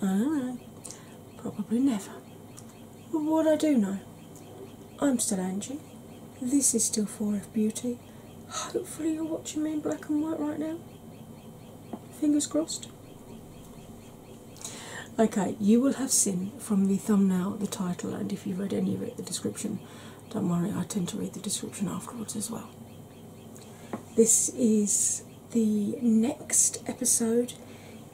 I don't know. Probably never. But what I do know, I'm still Angie. This is still 4 of Beauty. Hopefully, you're watching me in black and white right now. Fingers crossed. Okay, you will have seen from the thumbnail, the title, and if you have read any of it, the description. Don't worry, I tend to read the description afterwards as well. This is the next episode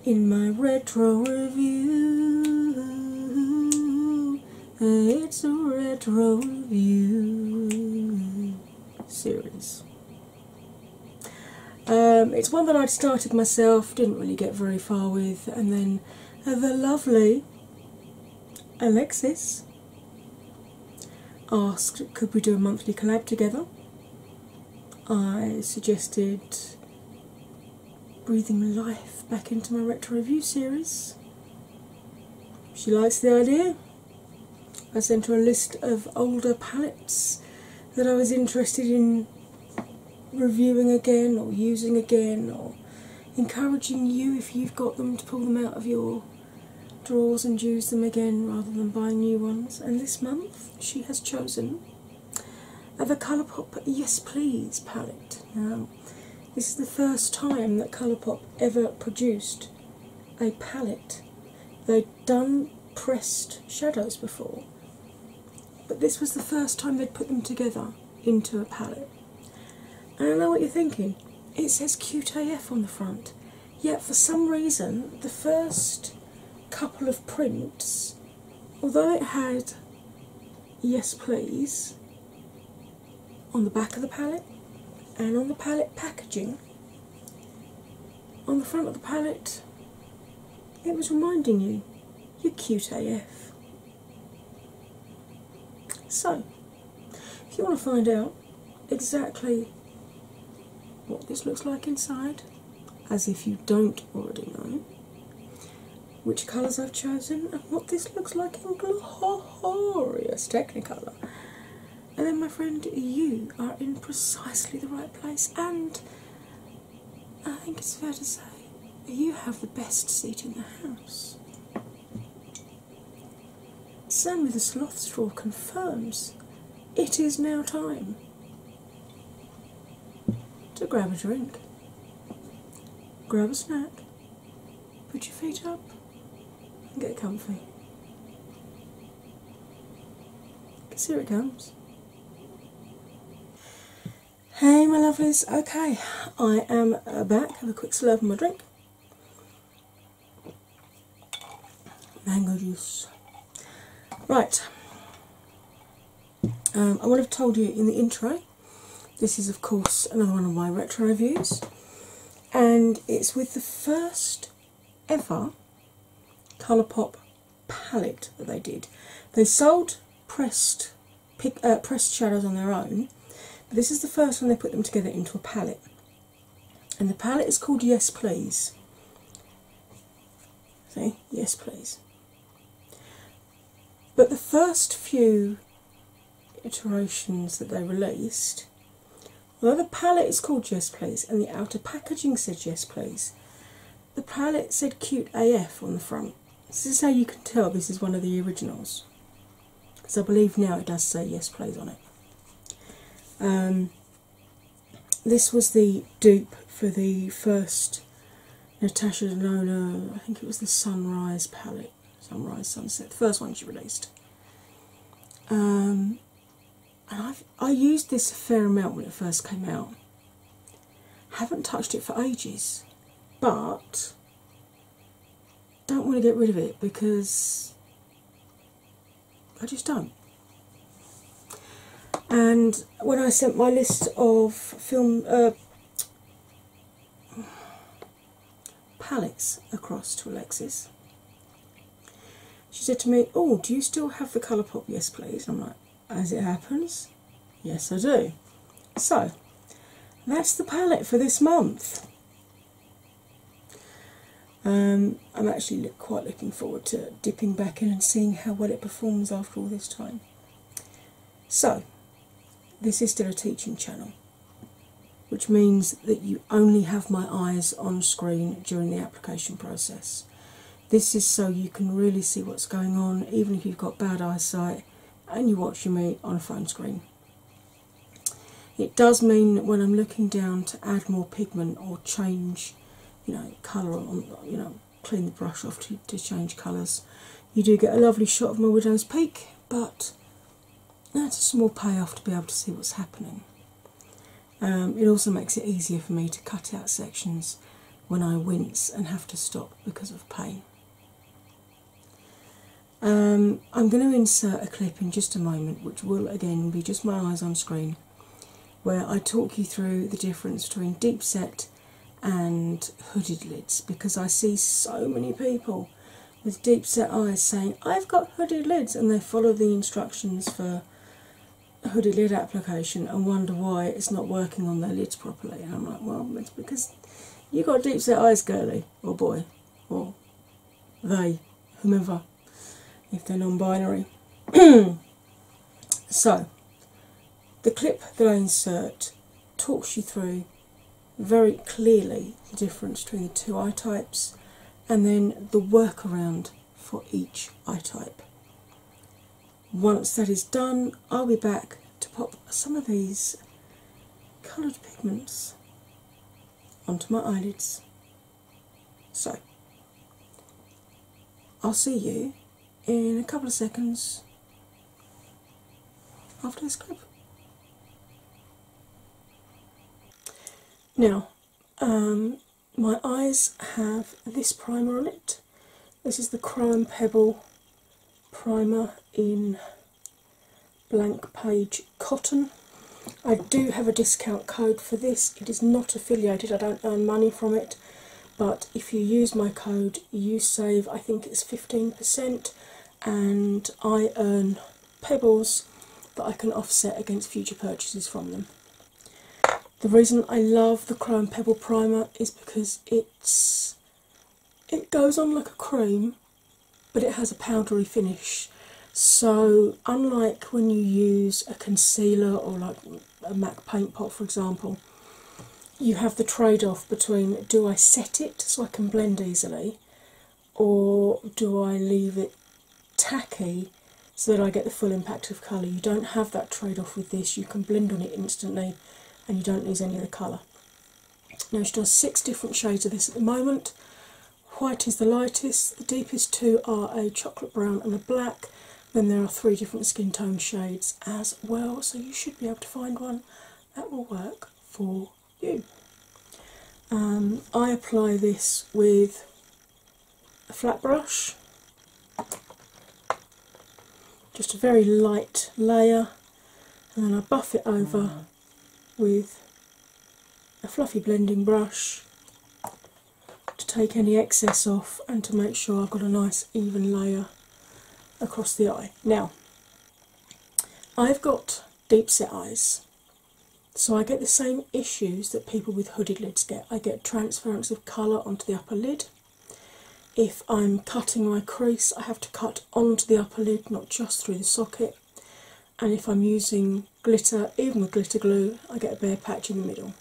in my retro review. It's a retro review series. Um, it's one that I'd started myself, didn't really get very far with, and then the lovely Alexis asked could we do a monthly collab together. I suggested breathing life back into my retro review series. She likes the idea. I sent her a list of older palettes that I was interested in reviewing again or using again or encouraging you if you've got them to pull them out of your draws and use them again rather than buying new ones. And this month she has chosen the Colourpop Yes Please palette. Now, this is the first time that Colourpop ever produced a palette. They'd done pressed shadows before, but this was the first time they'd put them together into a palette. And I know what you're thinking. It says QTF on the front. Yet, for some reason, the first couple of prints, although it had Yes Please on the back of the palette and on the palette packaging, on the front of the palette, it was reminding you, you're cute AF. So, if you want to find out exactly what this looks like inside, as if you don't already know, which colours I've chosen, and what this looks like in glorious Technicolor. And then, my friend, you are in precisely the right place, and I think it's fair to say you have the best seat in the house. Sam with the sloth straw confirms it is now time to grab a drink, grab a snack, put your feet up, and get comfy. Because here it comes. Hey, my lovelies, okay, I am back. Have a quick slurp of my drink mango juice. Right, um, I will have told you in the intro. This is, of course, another one of my retro reviews, and it's with the first ever ColourPop palette that they did. They sold pressed uh, pressed shadows on their own, but this is the first one they put them together into a palette and the palette is called Yes Please. See, Yes Please. But the first few iterations that they released, although the palette is called Yes Please and the outer packaging said Yes Please, the palette said Cute AF on the front. This is how you can tell this is one of the originals because I believe now it does say Yes Please on it. Um, this was the dupe for the first Natasha Denona, I think it was the Sunrise palette, Sunrise Sunset, the first one she released. Um, and i I used this a fair amount when it first came out. Haven't touched it for ages, but don't want to get rid of it because I just don't. And when I sent my list of film uh, palettes across to Alexis, she said to me, "Oh, do you still have the Colourpop?" Yes, please. I'm like, as it happens, yes, I do. So that's the palette for this month. Um, I'm actually quite looking forward to dipping back in and seeing how well it performs after all this time. So, this is still a teaching channel, which means that you only have my eyes on screen during the application process. This is so you can really see what's going on, even if you've got bad eyesight and you're watching me on a phone screen. It does mean that when I'm looking down to add more pigment or change, you know, colour or you know, clean the brush off to, change colours, you do get a lovely shot of my widow's peak, but that's a small payoff to be able to see what's happening. Um, it also makes it easier for me to cut out sections when I wince and have to stop because of pain. Um, I'm going to insert a clip in just a moment, which will again be just my eyes on screen, where I talk you through the difference between deep set and hooded lids because I see so many people with deep set eyes saying, I've got hooded lids, and they follow the instructions for hooded lid application and wonder why it's not working on their lids properly. And I'm like, well, it's because you got deep set eyes, girly or boy, or they, whoever." if they're non binary. so, the clip that I insert talks you through very clearly the difference between the two eye types and then the workaround for each eye type. Once that is done, I'll be back to pop some of these coloured pigments onto my eyelids. So, I'll see you in a couple of seconds after this clip. Now, um, my eyes have this primer on it. This is the Crime Pebble primer in Blank Page Cotton. I do have a discount code for this. It is not affiliated, I don't earn money from it, but if you use my code, you save I think it's 15%, and I earn pebbles that I can offset against future purchases from them. The reason I love the Chrome Pebble Primer is because it's it goes on like a cream but it has a powdery finish. So, unlike when you use a concealer or like a MAC paint pot, for example, you have the trade off between do I set it so I can blend easily, or do I leave it tacky so that I get the full impact of colour? You don't have that trade off with this, you can blend on it instantly and you don't lose any of the colour. Now, she does six different shades of this at the moment. White is the lightest, the deepest two are a chocolate brown and a black. Then there are three different skin tone shades as well, so you should be able to find one that will work for you. Um, I apply this with a flat brush, just a very light layer, and then I buff it over with a fluffy blending brush to take any excess off and to make sure I've got a nice even layer across the eye. Now, I've got deep set eyes, so I get the same issues that people with hooded lids get. I get transference of colour onto the upper lid. If I'm cutting my crease, I have to cut onto the upper lid, not just through the socket and if I'm using glitter, even with glitter glue, I get a bare patch in the middle.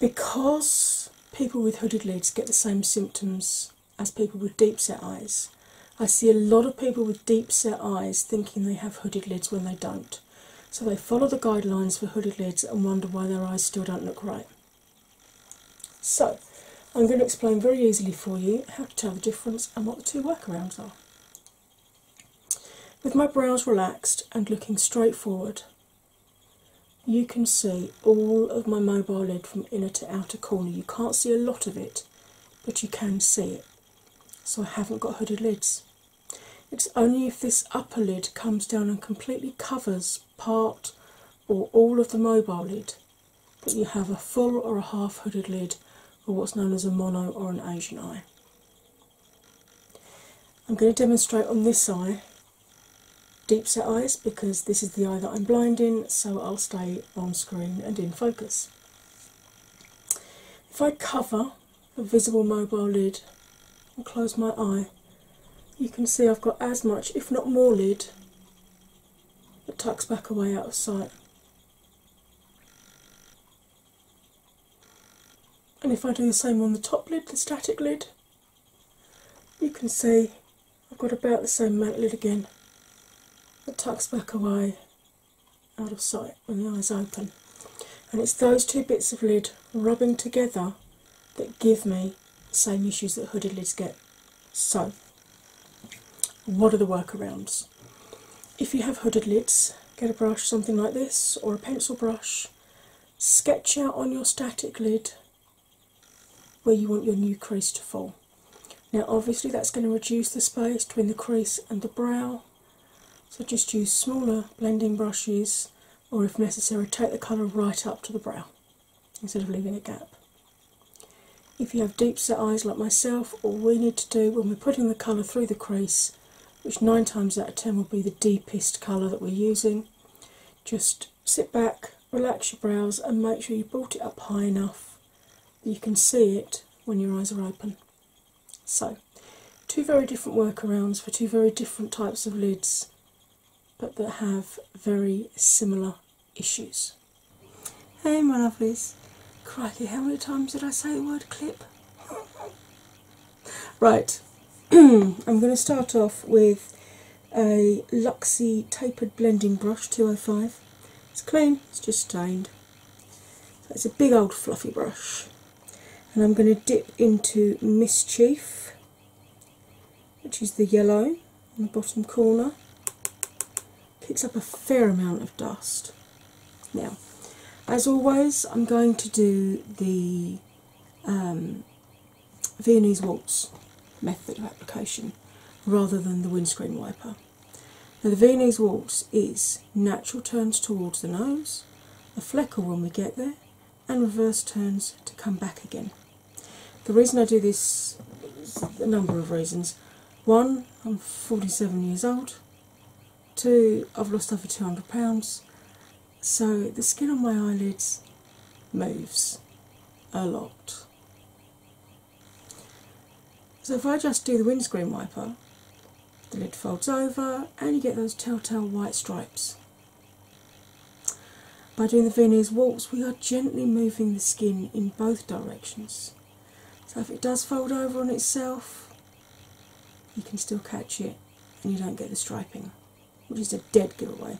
Because people with hooded lids get the same symptoms as people with deep set eyes, I see a lot of people with deep set eyes thinking they have hooded lids when they don't. So they follow the guidelines for hooded lids and wonder why their eyes still don't look right. So I'm going to explain very easily for you how to tell the difference and what the two workarounds are. With my brows relaxed and looking straight forward, you can see all of my mobile lid from inner to outer corner. You can't see a lot of it, but you can see it. So I haven't got hooded lids. It's only if this upper lid comes down and completely covers part or all of the mobile lid that you have a full or a half hooded lid, or what's known as a mono or an Asian eye. I'm going to demonstrate on this eye deep set eyes because this is the eye that I'm blind in, so I'll stay on screen and in focus. If I cover the visible mobile lid and close my eye, you can see I've got as much, if not more, lid that tucks back away out of sight. And if I do the same on the top lid, the static lid, you can see I've got about the same amount lid again It tucks back away out of sight when the eyes open. And it's those two bits of lid rubbing together that give me the same issues that hooded lids get. So what are the workarounds? If you have hooded lids, get a brush something like this or a pencil brush, sketch out on your static lid where you want your new crease to fall. Now, obviously, that's going to reduce the space between the crease and the brow, so just use smaller blending brushes or, if necessary, take the colour right up to the brow instead of leaving a gap. If you have deep set eyes like myself, all we need to do when we're putting the colour through the crease, which nine times out of ten will be the deepest colour that we're using, just sit back, relax your brows, and make sure you brought it up high enough that you can see it when your eyes are open. So, two very different workarounds for two very different types of lids, but that have very similar issues. Hey, my lovelies. Crikey, how many times did I say the word clip? right, I'm going to start off with a Luxie Tapered Blending Brush 205. It's clean, it's just stained. it's a big old fluffy brush. And I'm going to dip into Mischief, which is the yellow on the bottom corner picks up a fair amount of dust. Now, as always, I'm going to do the um, Viennese waltz method of application rather than the windscreen wiper. Now, the Viennese waltz is natural turns towards the nose, a flecker when we get there, and reverse turns to come back again. The reason I do this is a number of reasons. One, I'm 47 years old. Two, I've lost over 200 pounds. So the skin on my eyelids moves a lot. So if I just do the windscreen wiper, the lid folds over and you get those telltale white stripes. By doing the Viennese waltz, we are gently moving the skin in both directions. So if it does fold over on itself, you can still catch it and you don't get the striping, which is a dead giveaway.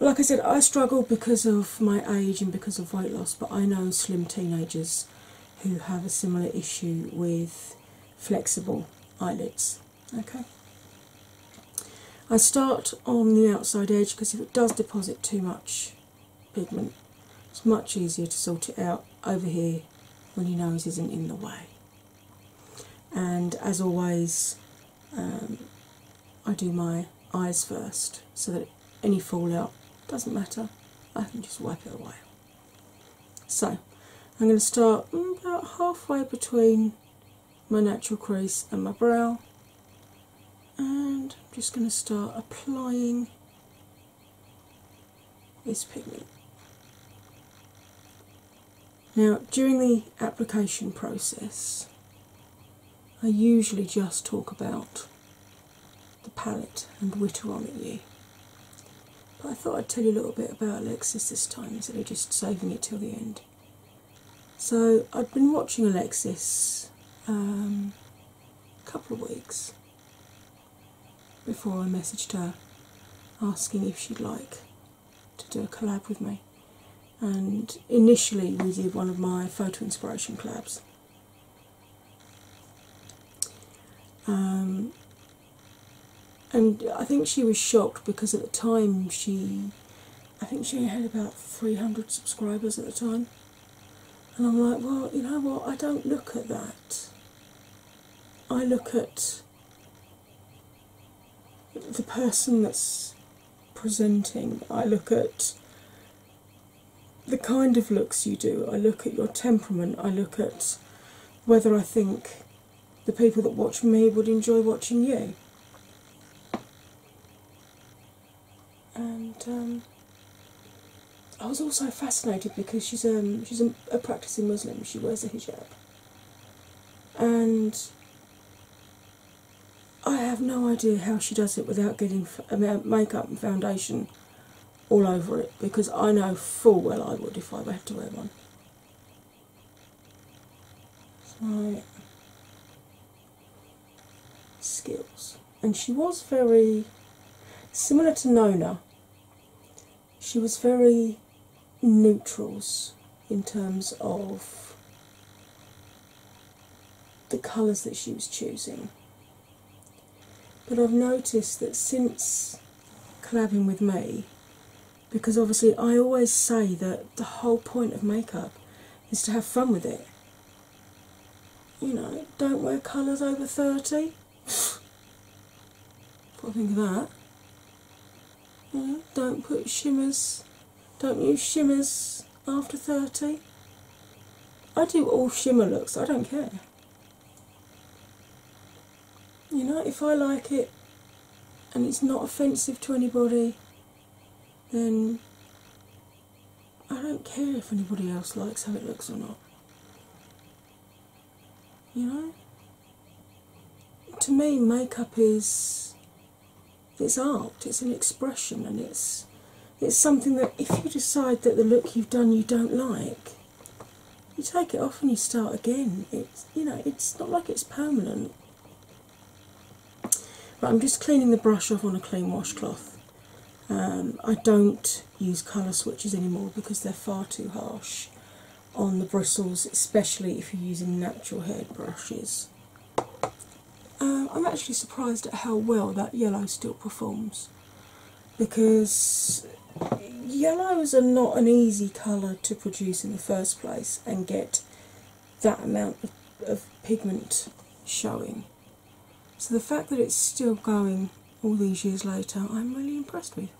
Like I said, I struggle because of my age and because of weight loss, but I know slim teenagers who have a similar issue with flexible eyelids. Okay. I start on the outside edge because if it does deposit too much pigment. It's much easier to sort it out over here when your nose isn't in the way. And as always, um, I do my eyes first so that any fallout doesn't matter, I can just wipe it away. So I'm going to start about halfway between my natural crease and my brow and I'm just going to start applying this pigment. Now, during the application process, I usually just talk about the palette and whittle on at you. But I thought I'd tell you a little bit about Alexis this time instead of just saving it till the end. So, I've been watching Alexis um, a couple of weeks before I messaged her asking if she'd like to do a collab with me. And initially, we did one of my photo inspiration collabs. Um, and I think she was shocked because at the time she, I think she had about 300 subscribers at the time, and I'm like, well, you know what? I don't look at that. I look at the person that's presenting. I look at the kind of looks you do. I look at your temperament. I look at whether I think the people that watch me would enjoy watching you and um, I was also fascinated because she's um she's a, practicing Muslim. She wears a hijab, and I have no idea how she does it without getting uh, makeup and foundation all over it because I know full well I would if I had to wear one. So skills. And she was very similar to Nona, she was very neutrals in terms of the colours that she was choosing. But I've noticed that since collabing with me, because obviously I always say that the whole point of makeup is to have fun with it you know, don't wear colours over 30. I think of that. don't put shimmers, don't use shimmers after 30. I do all shimmer looks, I don't care. You know, if I like it and it's not offensive to anybody, then I don't care if anybody else likes how it looks or not. You know? To me, makeup is it's art, it's an expression and it's it's something that if you decide that the look you've done you don't like, you take it off and you start again. It's you know, it's not like it's permanent. But I'm just cleaning the brush off on a clean washcloth. Um, I don't use colour switches anymore because they're far too harsh on the bristles, especially if you're using natural hair brushes. Um, I'm actually surprised at how well that yellow still performs because yellows are not an easy colour to produce in the first place and get that amount of pigment showing. So the fact that it's still going all these years later, I'm really impressed with.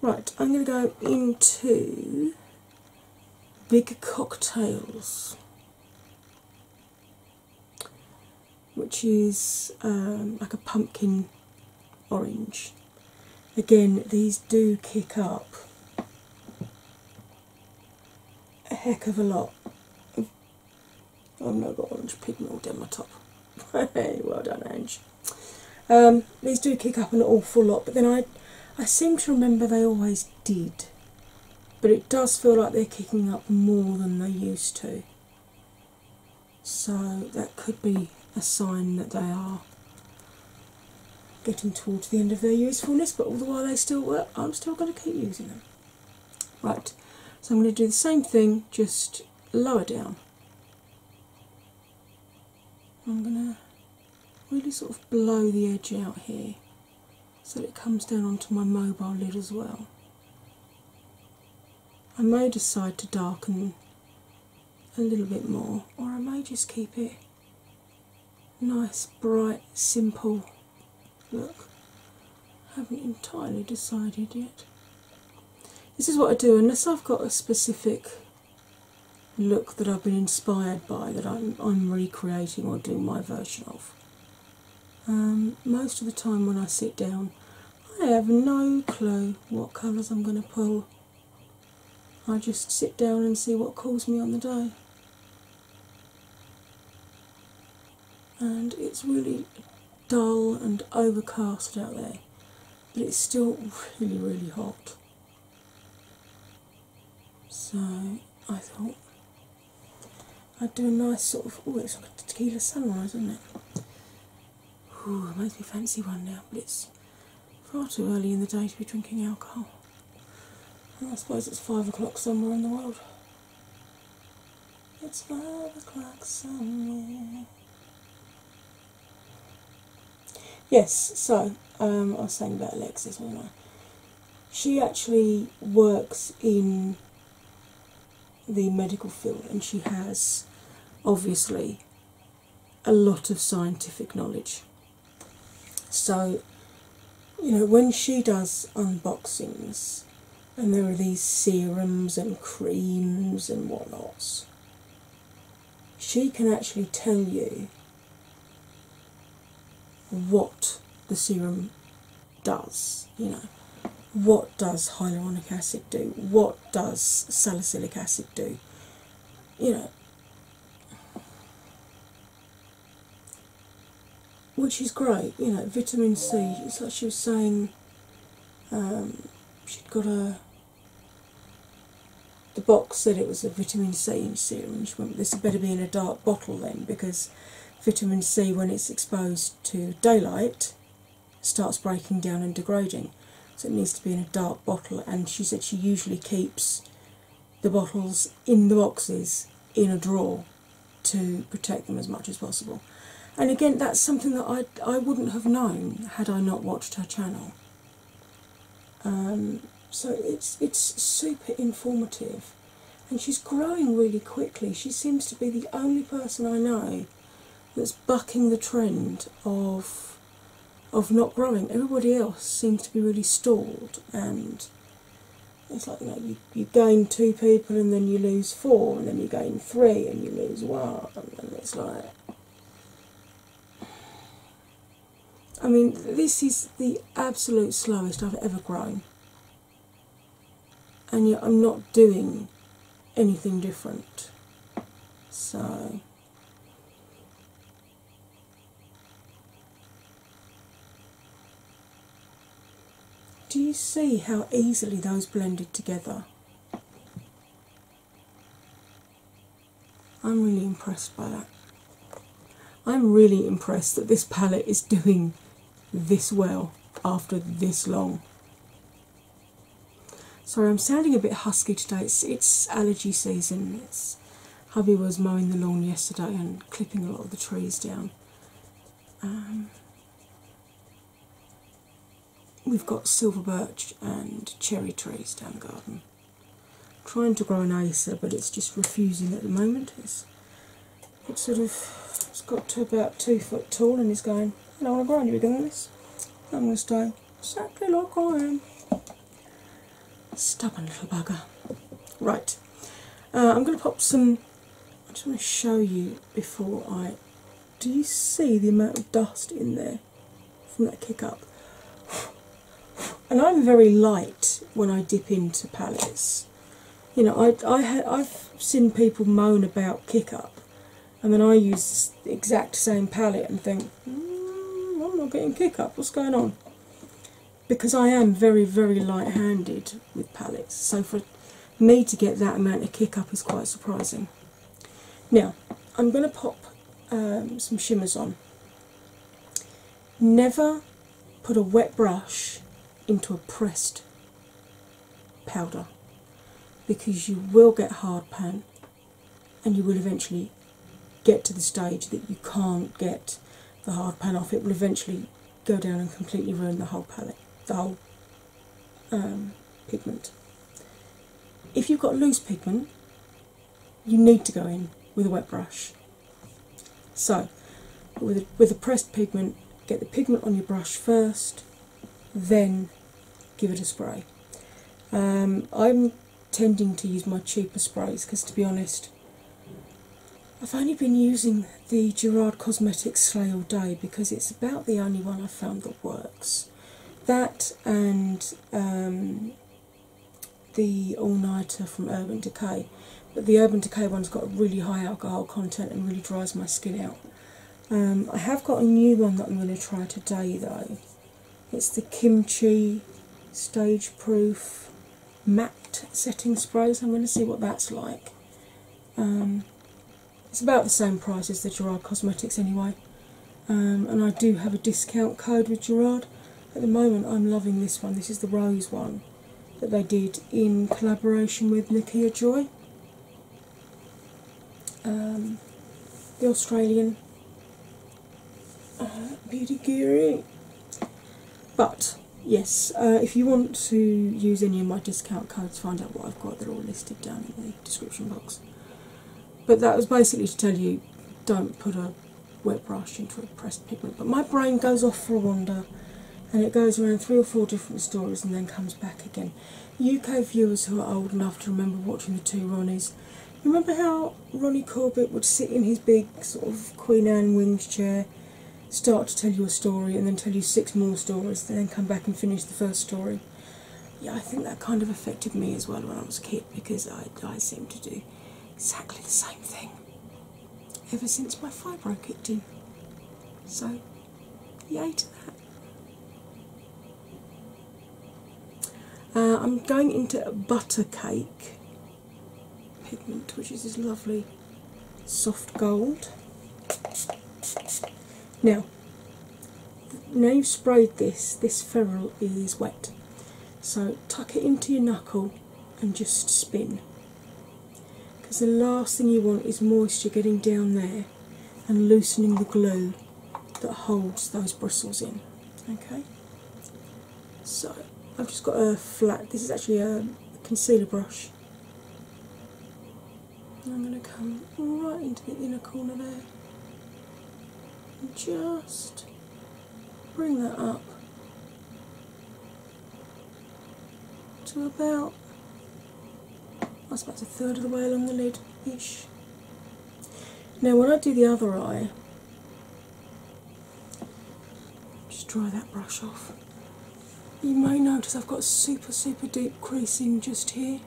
Right, I'm going to go into Big Cocktails, which is um, like a pumpkin orange. Again, these do kick up a heck of a lot. I've now got orange pigment down my top. hey, well done, Ange. Um, these do kick up an awful lot, but then I, I seem to remember they always did. But it does feel like they're kicking up more than they used to. So that could be a sign that they are getting towards the end of their usefulness, but all the while they still work, I'm still going to keep using them. Right, so I'm going to do the same thing, just lower down. I'm going to really sort of blow the edge out here so that it comes down onto my mobile lid as well. I may decide to darken a little bit more, or I may just keep it nice, bright, simple look. Haven't entirely decided yet. This is what I do unless I've got a specific look that I've been inspired by that I'm, recreating or doing my version of. Um, most of the time when I sit down, I have no clue what colours I'm going to pull. I just sit down and see what calls me on the day and it's really dull and overcast out there, but it's still really, really hot. So I thought I'd do a nice sort of oh, it's like a tequila sunrise, isn't it? Ooh, it makes me fancy one now, but it's far too early in the day to be drinking alcohol. I suppose it's five o'clock somewhere in the world. It's five o'clock somewhere. Yes, so um, I was saying about Alexis, wasn't I? She actually works in the medical field and she has obviously a lot of scientific knowledge so, you know, when she does unboxings and there are these serums and creams and whatnots, she can actually tell you what the serum does, you know. What does hyaluronic acid do? What does salicylic acid do? You know, which is great, you know, vitamin C. It's like she was saying um, she'd got a. The box said it was a vitamin C serum. She went, "This had better be in a dark bottle then, because vitamin C, when it's exposed to daylight, starts breaking down and degrading. So it needs to be in a dark bottle." And she said she usually keeps the bottles in the boxes in a drawer to protect them as much as possible. And again, that's something that I I wouldn't have known had I not watched her channel. Um, so it's it's super informative, and she's growing really quickly. She seems to be the only person I know that's bucking the trend of of not growing. Everybody else seems to be really stalled and it's like you you gain two people and then you lose four, and then you gain three and you lose one, and it's like. I mean, this is the absolute slowest I've ever grown, and yet I'm not doing anything different. So, do you see how easily those blended together? I'm really impressed by that. I'm really impressed that this palette is doing this well after this long. Sorry, I'm sounding a bit husky today. It's, allergy season. It's because hubby was mowing the lawn yesterday and clipping a lot of the trees down. Um, we've got silver birch and cherry trees down the garden. trying to grow an acer, but it's just refusing at the moment. It's, sort of it's got to about two foot tall and it's going, I don't want to grow any bigger than this. I'm going to stay exactly like I am. Stubborn little bugger. Right, uh, I'm going to pop some. I just want to show you before I. Do you see the amount of dust in there from that kick up? And I'm very light when I dip into palettes. You know, I, I have seen people moan about kick up, and then I use the exact same palette and think, hmm, I'm not getting kick up. What's going on? because I am very, very light handed with palettes, so for me to get that amount of kick up is quite surprising. Now, I'm going to pop um, some shimmers on. Never put a wet brush into a pressed powder because you will get hard pan and you will eventually get to the stage that you can't get the hard pan off, it will eventually go down and completely ruin the whole palette, the whole um, pigment. If you've got loose pigment, you need to go in with a wet brush. So, with a, with a pressed pigment, get the pigment on your brush first, then give it a spray. Um, I'm tending to use my cheaper sprays because, to be honest, I've only been using the Gerard Cosmetics Slay All Day because it's about the only one I've found that works. That and um, the All Nighter from Urban Decay, but the Urban Decay one's got really high alcohol content and really dries my skin out. Um, I have got a new one that I'm going to try today though. It's the Kimchi Stage Proof matte setting sprays. I'm going to see what that's like. Um, it's about the same price as the Gerard Cosmetics anyway, um, and I do have a discount code with Gerard. At the moment, I'm loving this one. This is the rose one that they did in collaboration with Nikia Joy, um, the Australian uh-huh, beauty Guru. But yes, uh, if you want to use any of my discount codes, find out what I've got. They're all listed down in the description box. But that was basically to tell you don't put a wet brush into a pressed pigment. But my brain goes off for a wander and it goes around three or four different stories and then comes back again. UK viewers who are old enough to remember watching the two Ronnies remember how Ronnie Corbett would sit in his big sort of Queen Anne wings chair, start to tell you a story, and then tell you six more stories, and then come back and finish the first story? Yeah, I think that kind of affected me as well when I was a kid because I, I seemed to do exactly the same thing ever since my thigh broke it did. So, yay to that. Uh, I'm going into butter cake pigment, which is this lovely soft gold. Now, now you've sprayed this, this ferrule is wet. So tuck it into your knuckle and just spin. Because the last thing you want is moisture getting down there and loosening the glue that holds those bristles in. Okay? So I've just got a flat, this is actually a concealer brush. I'm going to come right into the inner corner there and just bring that up to about, that's about a third of the way along the lid ish. Now, when I do the other eye, just dry that brush off. You may notice I've got super, super deep creasing just here,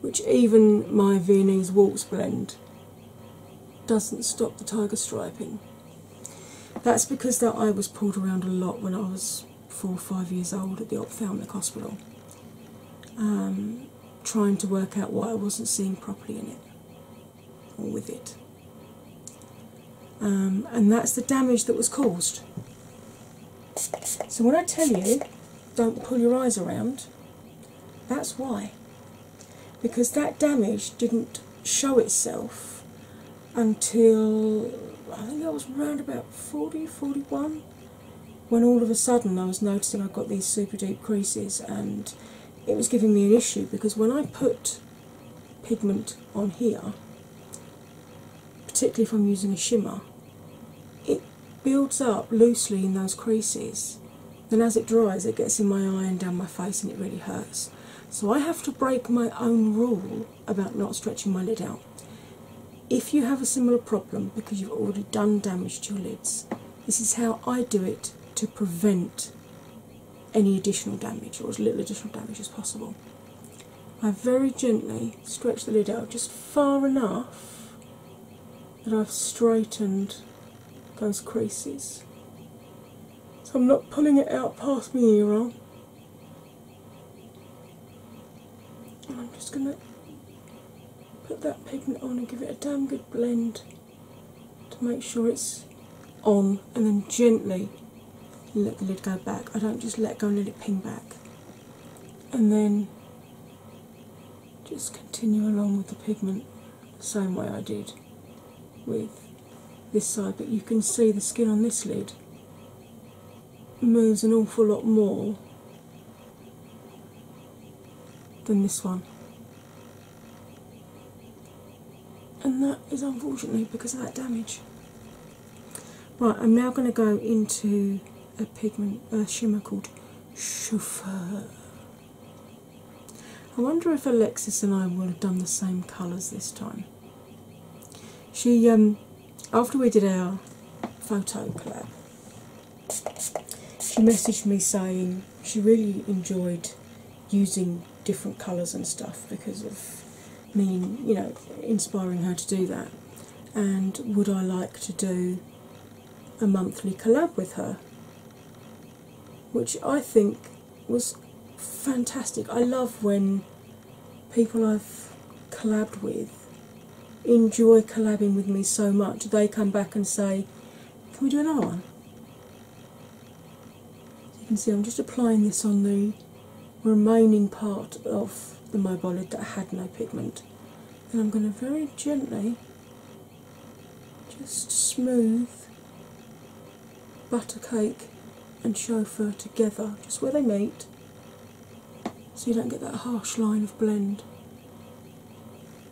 which even my Viennese Waltz blend doesn't stop the tiger striping. That's because that eye was pulled around a lot when I was four or five years old at the ophthalmic hospital, um, trying to work out why I wasn't seeing properly in it with it. Um, and that's the damage that was caused. So when I tell you, don't pull your eyes around, that's why. Because that damage didn't show itself until I think I was around about 40, 41 when all of a sudden I was noticing I got these super deep creases and it was giving me an issue because when I put pigment on here, particularly if I'm using a shimmer, it builds up loosely in those creases. Then, as it dries, it gets in my eye and down my face, and it really hurts. So, I have to break my own rule about not stretching my lid out. If you have a similar problem because you've already done damage to your lids, this is how I do it to prevent any additional damage or as little additional damage as possible. I very gently stretch the lid out just far enough that I've straightened those creases. So I'm not pulling it out past me here roll. And I'm just going to put that pigment on and give it a damn good blend to make sure it's on, and then gently let the lid go back. I don't just let go and let it ping back, and then just continue along with the pigment the same way I did with this side. But you can see the skin on this lid moves an awful lot more than this one and that is unfortunately because of that damage. Right, I'm now going to go into a pigment, a shimmer called Chauffeur. I wonder if Alexis and I will have done the same colours this time. She, um, after we did our photo collab, she messaged me saying, she really enjoyed using different colours and stuff because of me, you know, inspiring her to do that. And would I like to do a monthly collab with her? Which I think was fantastic. I love when people I've collabed with enjoy collabing with me so much they come back and say, Can we do another one? you can see I'm just applying this on the remaining part of the mobile lid that had no pigment. And I'm going to very gently just smooth buttercake and chauffeur together, just where they meet, so you don't get that harsh line of blend.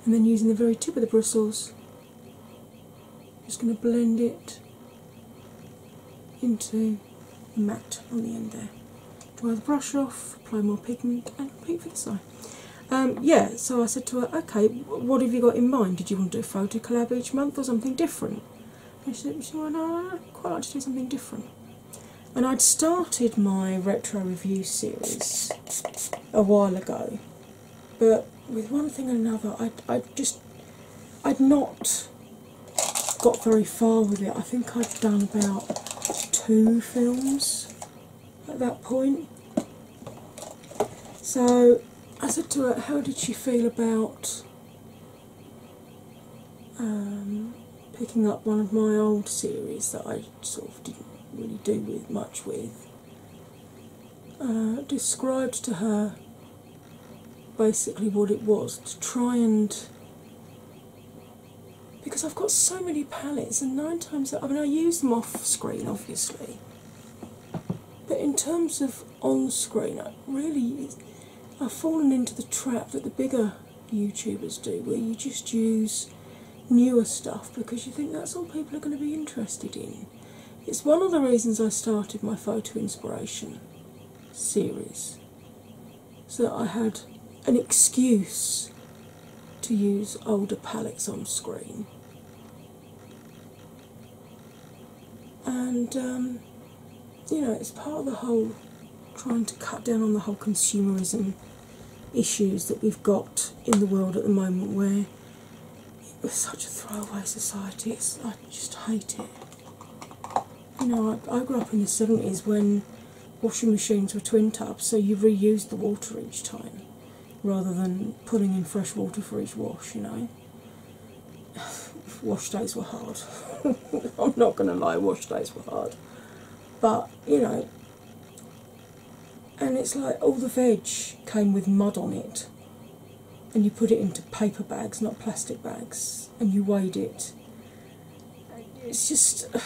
And then using the very tip of the bristles just going to blend it into the matte on the end there. Dry the brush off, apply more pigment, and paint for the eye. Um, yeah, so I said to her, okay, what have you got in mind? Did you want to do a photo collab each month or something different? she said, well, no, I quite like to do something different. And I'd started my retro review series a while ago, but with one thing and another, I I just I'd not got very far with it. I think I'd done about two films at that point. So I said to her, "How did she feel about um, picking up one of my old series that I sort of didn't really do with much with, uh, described to her basically what it was to try and because I've got so many palettes and nine times I mean I use them off screen obviously but in terms of on screen I really I've fallen into the trap that the bigger YouTubers do where you just use newer stuff because you think that's all people are going to be interested in. It's one of the reasons I started my photo inspiration series so that I had an excuse to use older palettes on screen. And um, you know, it's part of the whole trying to cut down on the whole consumerism issues that we've got in the world at the moment where it was such a throwaway society. I just hate it. You know, I grew up in the 70s when washing machines were twin tubs, so you reused the water each time rather than putting in fresh water for each wash, you know. wash days were hard. I'm not going to lie, wash days were hard. But, you know, and it's like all the veg came with mud on it and you put it into paper bags not plastic bags and you weighed it it's just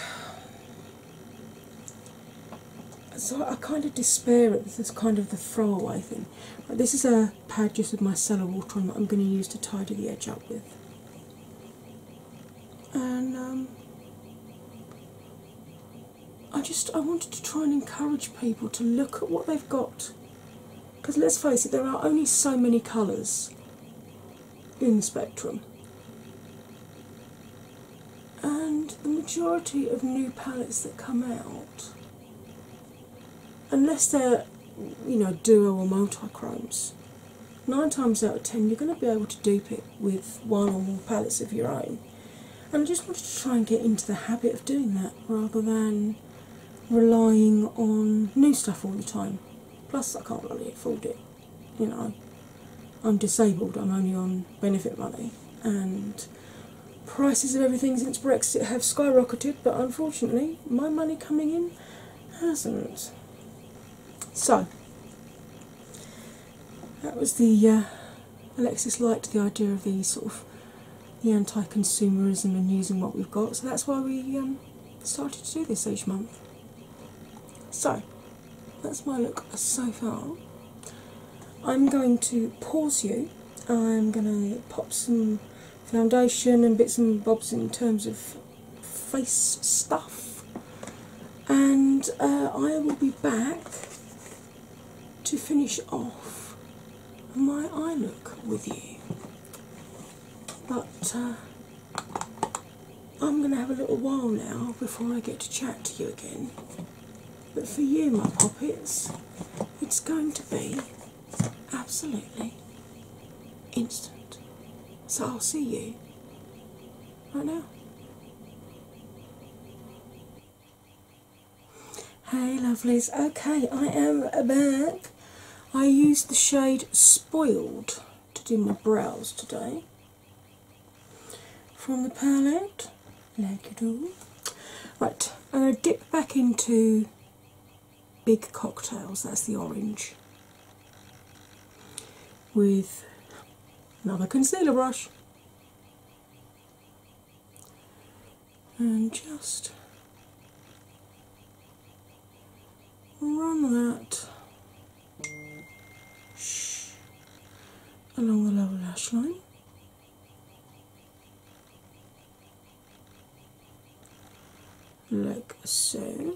so i kind of despair at this kind of the throwaway thing this is a pad just with my cellar water on that i'm going to use to tidy the edge up with and um, I just I wanted to try and encourage people to look at what they've got. Because let's face it, there are only so many colours in the spectrum. And the majority of new palettes that come out, unless they're you know duo or multi-chromes, nine times out of ten you're going to be able to dupe it with one or more palettes of your own. And I just wanted to try and get into the habit of doing that rather than relying on new stuff all the time. Plus, I can't really afford it. You know, I'm disabled, I'm only on benefit money, and prices of everything since Brexit have skyrocketed, but unfortunately, my money coming in hasn't. So, that was the uh, Alexis liked the idea of the sort of the anti-consumerism and using what we've got, so that's why we um, started to do this each month. So that's my look so far. I'm going to pause you. I'm going to pop some foundation and bits and bobs in terms of face stuff, and uh, I will be back to finish off my eye look with you. But uh, I'm going to have a little while now before I get to chat to you again. But for you, my poppets, it's going to be absolutely instant. So I'll see you right now. Hey lovelies, okay, I am back. I used the shade Spoiled to do my brows today from the palette, like you do. Right, I'm going to dip back into Big Cocktails, that's the orange, with another concealer brush and just run that along the lower lash line. Like so.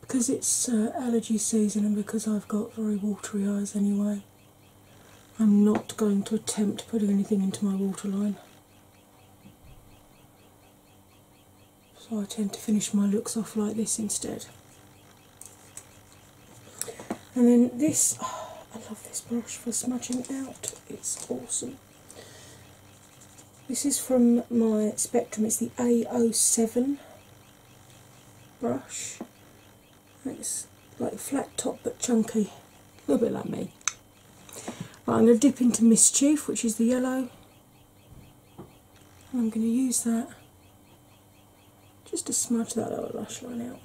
Because it's uh, allergy season and because I've got very watery eyes anyway, I'm not going to attempt putting anything into my waterline. So I tend to finish my looks off like this instead. And then this, I love this brush for smudging out, it's awesome. This is from my Spectrum, it's the A07 brush. It's like flat top but chunky, a little bit like me. I'm going to dip into Mischief, which is the yellow, I'm going to use that just to smudge that lower lash line out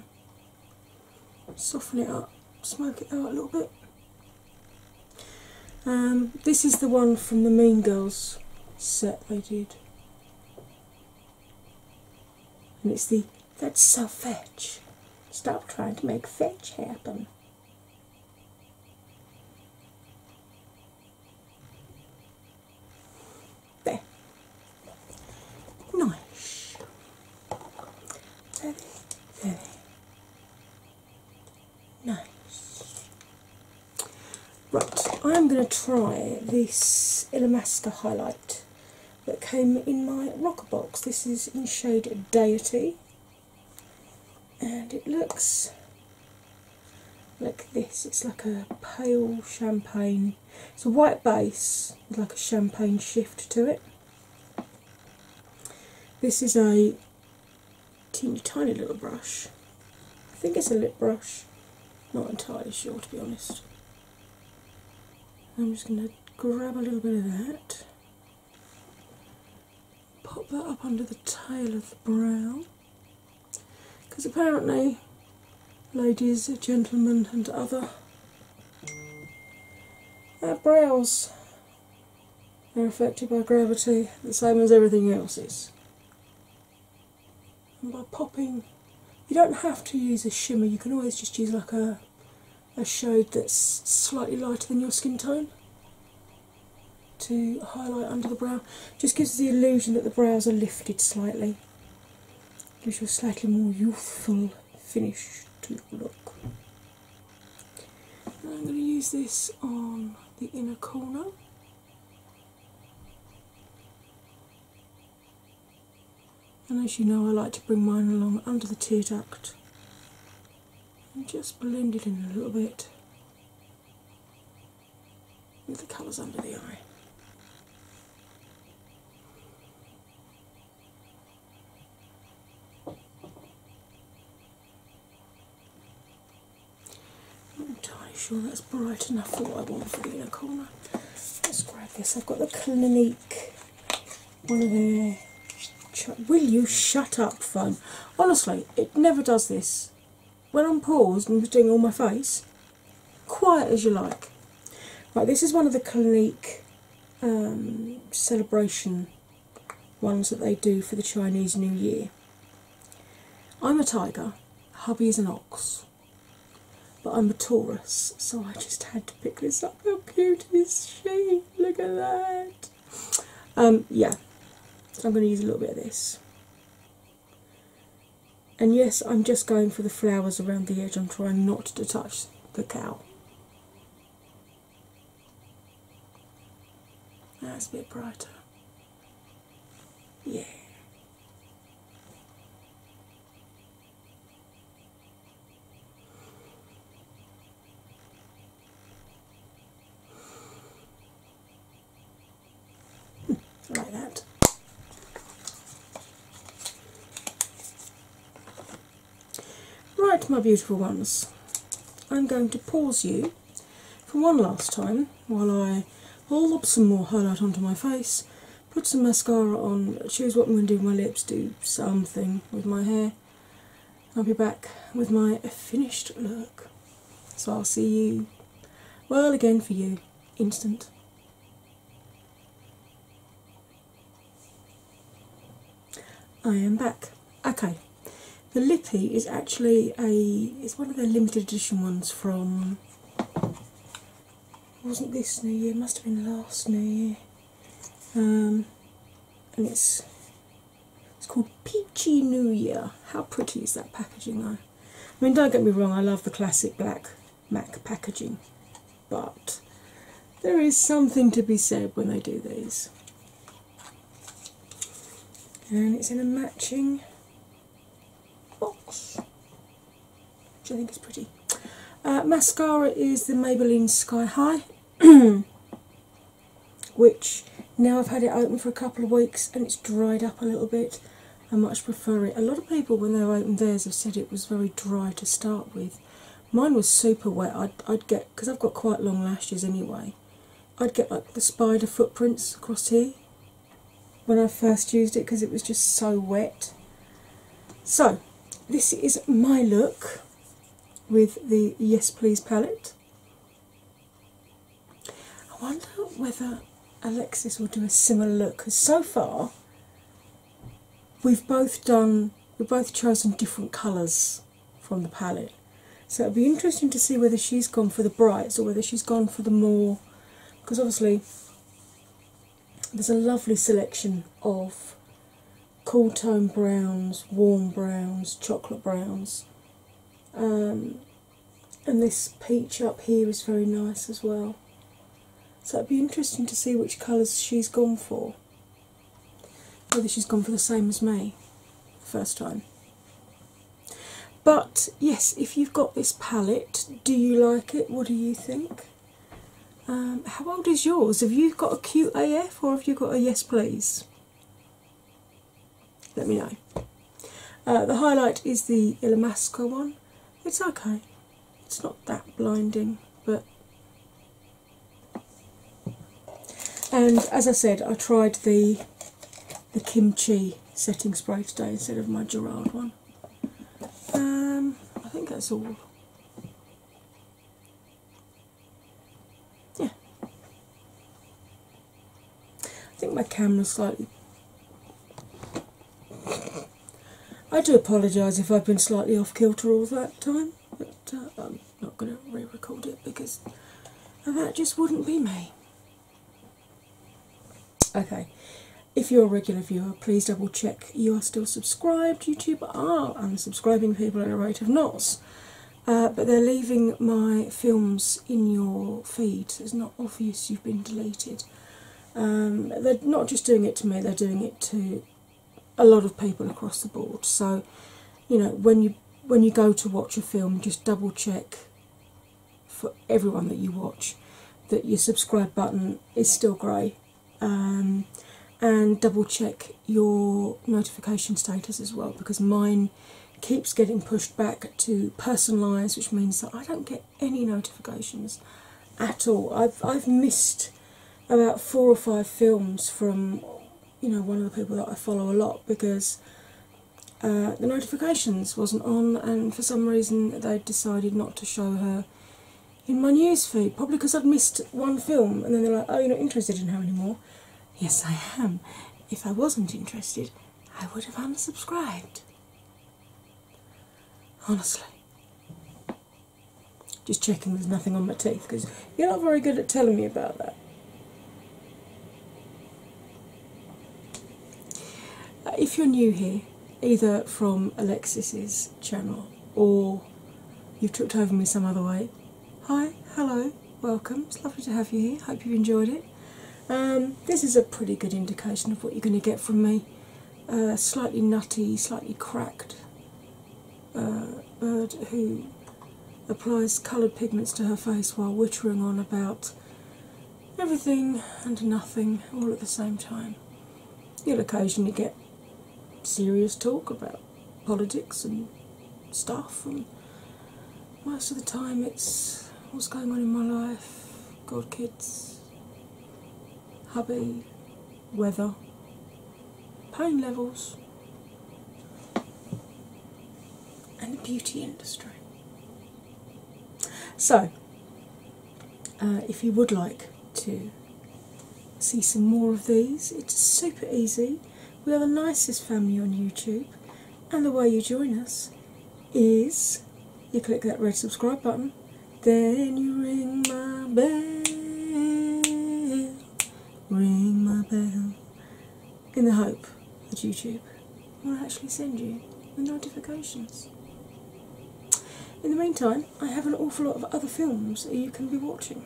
soften it up, smoke it out a little bit. Um, this is the one from the Mean Girls set they did, and it's the that's so fetch. Stop trying to make fetch happen. There. Nice. There, there. Nice. Right, I'm going to try this Illamasqua highlight that came in my rocker box. This is in shade Deity, and it looks like this. It's like a pale champagne. It's a white base with like a champagne shift to it. This is a teeny tiny little brush. I think it's a lip brush, not entirely sure to be honest. I'm just going to grab a little bit of that, pop that up under the tail of the brow, because apparently ladies, gentlemen, and other our brows are affected by gravity the same as everything else is. And by popping, you don't have to use a shimmer, you can always just use like a, a shade that's slightly lighter than your skin tone to highlight under the brow. Just gives the illusion that the brows are lifted slightly, gives you slightly more youthful finish to look. I'm going to use this on the inner corner. And as you know, I like to bring mine along under the tear duct and just blend it in a little bit with the colours under the eye. I'm not entirely sure that's bright enough for what I want for doing a corner. Let's grab this. I've got the Clinique, one of their. Will you shut up, phone? Honestly, it never does this. When I'm paused and doing all my face, quiet as you like. Right, this is one of the Clinique um, celebration ones that they do for the Chinese New Year. I'm a tiger, hubby is an ox, but I'm a Taurus, so I just had to pick this up. How cute is she? Look at that. Um, yeah, so I'm going to use a little bit of this. And yes, I'm just going for the flowers around the edge. I'm trying not to touch the cow. That's a bit brighter. Yeah. Hmm. like that. Right, my beautiful ones, I'm going to pause you for one last time while I up some more highlight onto my face, put some mascara on, choose what I'm going to do with my lips, do something with my hair. I'll be back with my finished look. So I'll see you, well, again for you, instant. I am back. Okay, the lippy is actually a it's one of their limited edition ones from wasn't this New Year? Must have been last New Year. Um, and it's it's called Peachy New Year. How pretty is that packaging though? I mean, don't get me wrong, I love the classic black MAC packaging, but there is something to be said when they do these. And it's in a matching box, which I think is pretty. Uh, mascara is the Maybelline Sky High, which now I've had it open for a couple of weeks and it's dried up a little bit. I much prefer it. A lot of people, when they've opened theirs, have said it was very dry to start with, Mine was super wet. I'd, I'd get because I've got quite long lashes anyway. I'd get like the spider footprints across here when I first used it because it was just so wet. So this is my look with the Yes Please palette. I wonder whether Alexis will do a similar look because so far we've both done we've both chosen different colours from the palette. So it'll be interesting to see whether she's gone for the brights or whether she's gone for the more because obviously there's a lovely selection of cool tone browns, warm browns, chocolate browns. Um, and this peach up here is very nice as well. So it'd be interesting to see which colours she's gone for sure whether she's gone for the same as me the first time. But yes, if you've got this palette, do you like it? What do you think? Um, how old is yours? Have you got a cute AF or have you got a yes please? Let me know. Uh, the highlight is the Illamasqua one. It's okay. It's not that blinding, but and as I said, I tried the the kimchi setting spray today instead of my Gerard one. Um, I think that's all. Yeah. I think my camera's slightly. I do apologise if I've been slightly off kilter all that time but uh, I'm not going to re record it because that just wouldn't be me. Okay, if you're a regular viewer, please double check you are still subscribed. YouTube are unsubscribing people at a rate of knots, uh, but they're leaving my films in your feed, so it's not obvious you've been deleted. Um, they're not just doing it to me, they're doing it to a lot of people across the board. So, you know, when you when you go to watch a film, just double check for everyone that you watch that your subscribe button is still grey, um, and double check your notification status as well because mine keeps getting pushed back to personalised, which means that I don't get any notifications at all. I've I've missed about four or five films from you know one of the people that I follow a lot because uh, the notifications wasn't on, and for some reason they decided not to show her in my news feed. Probably because I'd missed one film, and then they're like, "Oh, you're not interested in her anymore." Yes, I am. If I wasn't interested, I would have unsubscribed. Honestly. Just checking there's nothing on my teeth because you're not very good at telling me about that. Uh, if you're new here, either from Alexis's channel or you've tripped over me some other way, hi, hello, welcome. It's lovely to have you here. Hope you've enjoyed it. Um, this is a pretty good indication of what you're going to get from me. Uh, slightly nutty, slightly cracked uh, bird who applies coloured pigments to her face while wittering on about everything and nothing all at the same time. You'll occasionally get serious talk about politics and stuff, and most of the time it's what's going on in my life, God, kids, hubby, weather, pain levels, and the beauty industry. So, uh, if you would like to see some more of these, it's super easy. We are the nicest family on YouTube, and the way you join us is you click that red subscribe button then you ring my bell, ring my bell, in the hope that YouTube will actually send you the notifications. In the meantime, I have an awful lot of other films that you can be watching.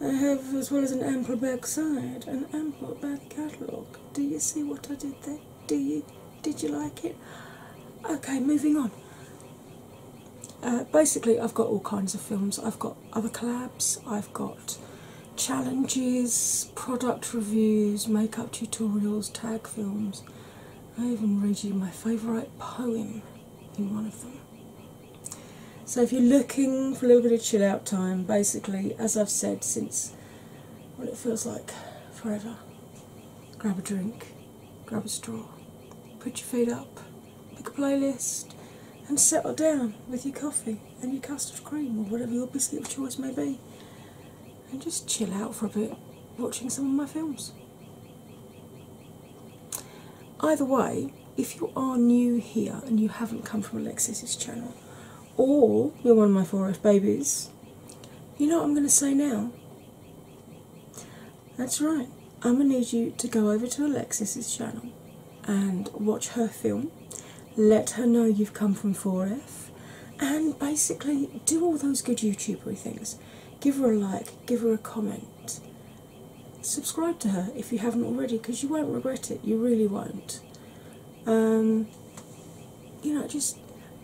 I have, as well as an ample backside, an ample back catalogue. Do you see what I did there? Do you? Did you like it? Okay, moving on. Uh, basically, I've got all kinds of films. I've got other collabs, I've got challenges, product reviews, makeup tutorials, tag films. I even read you my favourite poem in one of them. So, if you're looking for a little bit of chill out time, basically, as I've said since what it feels like forever, grab a drink, grab a straw, put your feet up, pick a playlist, and settle down with your coffee and your custard cream or whatever your biscuit of choice may be, and just chill out for a bit watching some of my films. Either way, if you are new here and you haven't come from Alexis's channel, or you're one of my 4F babies, you know what I'm going to say now? That's right. I'm gonna need you to go over to Alexis's channel and watch her film. Let her know you've come from 4F, and basically do all those good YouTubery things. Give her a like, give her a comment, subscribe to her if you haven't already, because you won't regret it. You really won't. Um, you know, just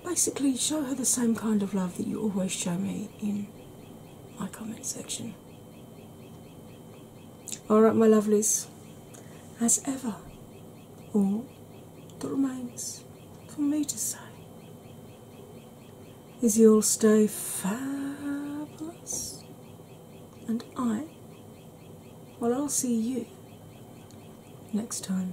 basically show her the same kind of love that you always show me in my comment section. Alright, my lovelies, as ever, all that remains for me to say is you'll stay fabulous, and I, well, I'll see you next time.